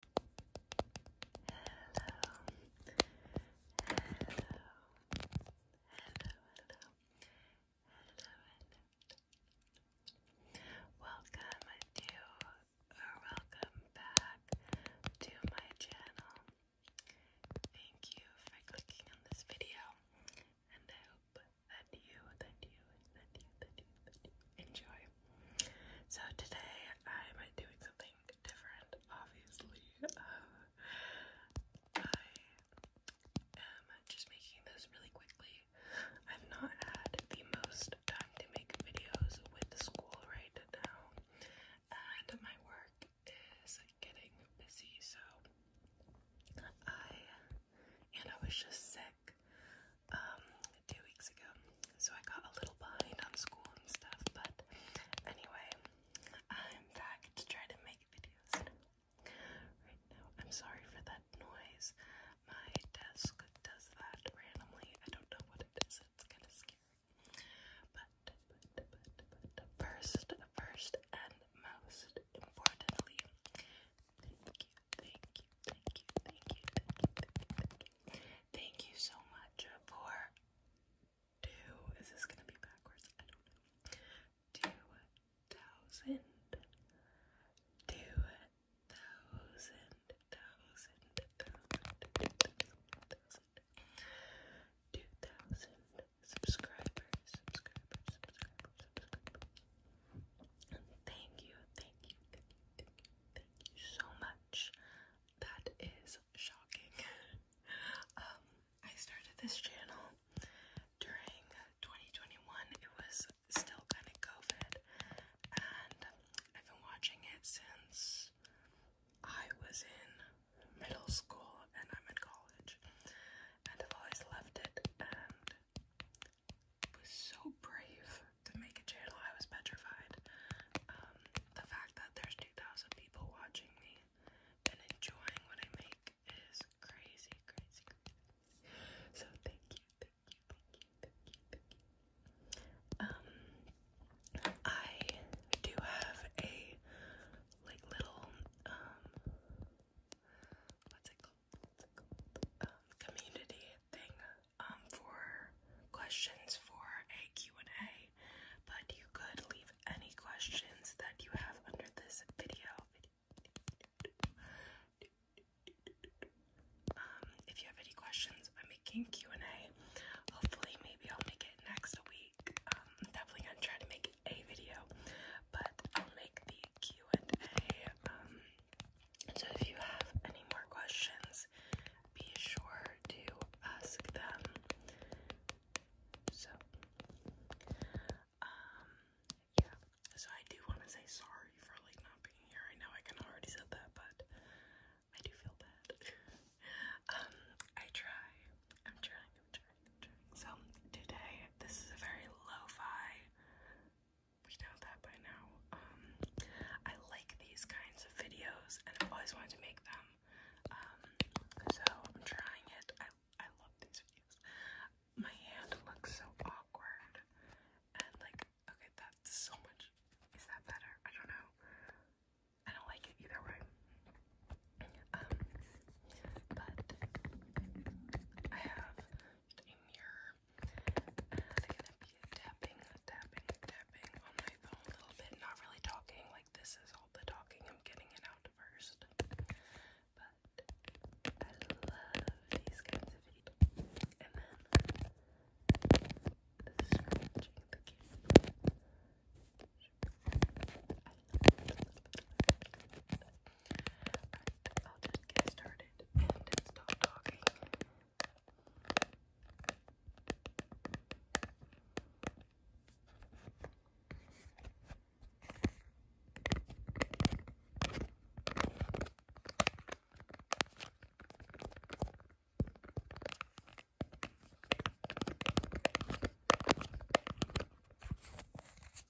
hello. Welcome to or welcome back to my channel. Thank you for clicking on this video, and I hope that you, that you, that you, that you, that you enjoy. So today I'm doing something different, obviously. Uh, I am just making this really quickly. I've not had the most time to make videos with school right now, and my work is getting busy, so I and I was just sick um, two weeks ago. So I got a little behind on school and stuff, but anyway, I'm back to try to make videos right now. I'm sorry for that noise. My desk does that randomly. I don't know what it is. It's kind of scary. but first, first and most importantly, thank you Thank you, thank you, thank you, thank you, thank you, thank you. Thank you so much for two. Is this gonna be backwards? I don't know. Two thousand. Two thousand subscribers subscribers subscribers Thank you, thank you, thank you, thank you, thank you so much. That is shocking. um, I started this channel during 2021. It was still kind of COVID, and I've been watching it since I was in middle school and I'm in college, and I've always loved it. And was so brave to make a channel. I was petrified. Um, the fact that there's 2,000 people watching me and enjoying what I make is crazy, crazy, crazy. So thank you, thank you, thank you, thank you, thank you. Um, I do have a like little um, what's it called? community thing um, for questions for a Q&A, but you could leave any questions that you have under this video. Um, if you have any questions, I'm making Q&A. Hopefully, maybe I'll make it next week. Um, I'm definitely gonna try to make a video but I'll make the Q&A. Um, so if you have any more questions, be sure to ask them. So, um, yeah. So I do want to say sorry for like not being here. I know I kind already said that, but I do feel bad. um, I try. I'm trying. i so today, this is a very lo-fi. We know that by now. Um, I like these kinds of videos, and I've always wanted to make them. Um, so I'm trying it. I I love these videos. My hand looks so awkward, and like, okay, that's so much. Is that better? I don't know. I don't like it either way. Um, but I have a mirror I'm gonna be tapping, tapping, tapping on my phone a little bit, not really talking, like this is all the talking, I'm getting it out first. But I love these kinds of videos. And then I love it. I love I'll just get started and stop talking.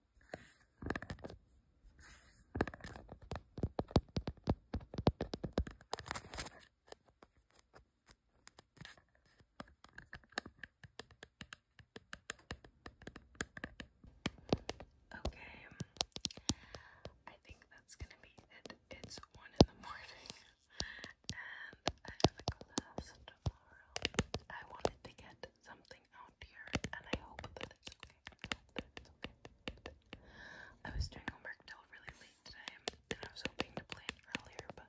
Okay, I think that's gonna be it. It's one in the morning, and I have a class tomorrow. I wanted to get something out here, and I hope that it's okay. I was doing homework till really late today, and I was hoping to plan earlier, but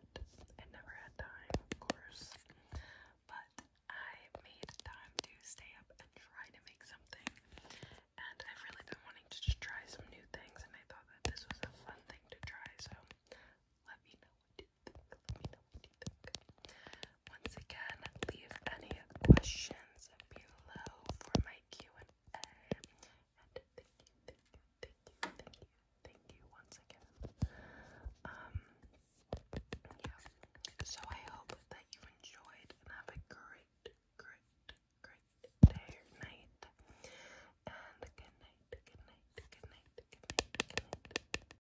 I never had time, of course. But I made time to stay up and try to make something, and I've really been wanting to just try some new things, and I thought that this was a fun thing to try, so let me know what you once again, leave any questions below for my Q&A. And thank you, thank you, thank you, thank you, thank you once again. Um, yeah. So I hope that you enjoyed and have a great, great, great day or night. And good night, good night, good night, good night.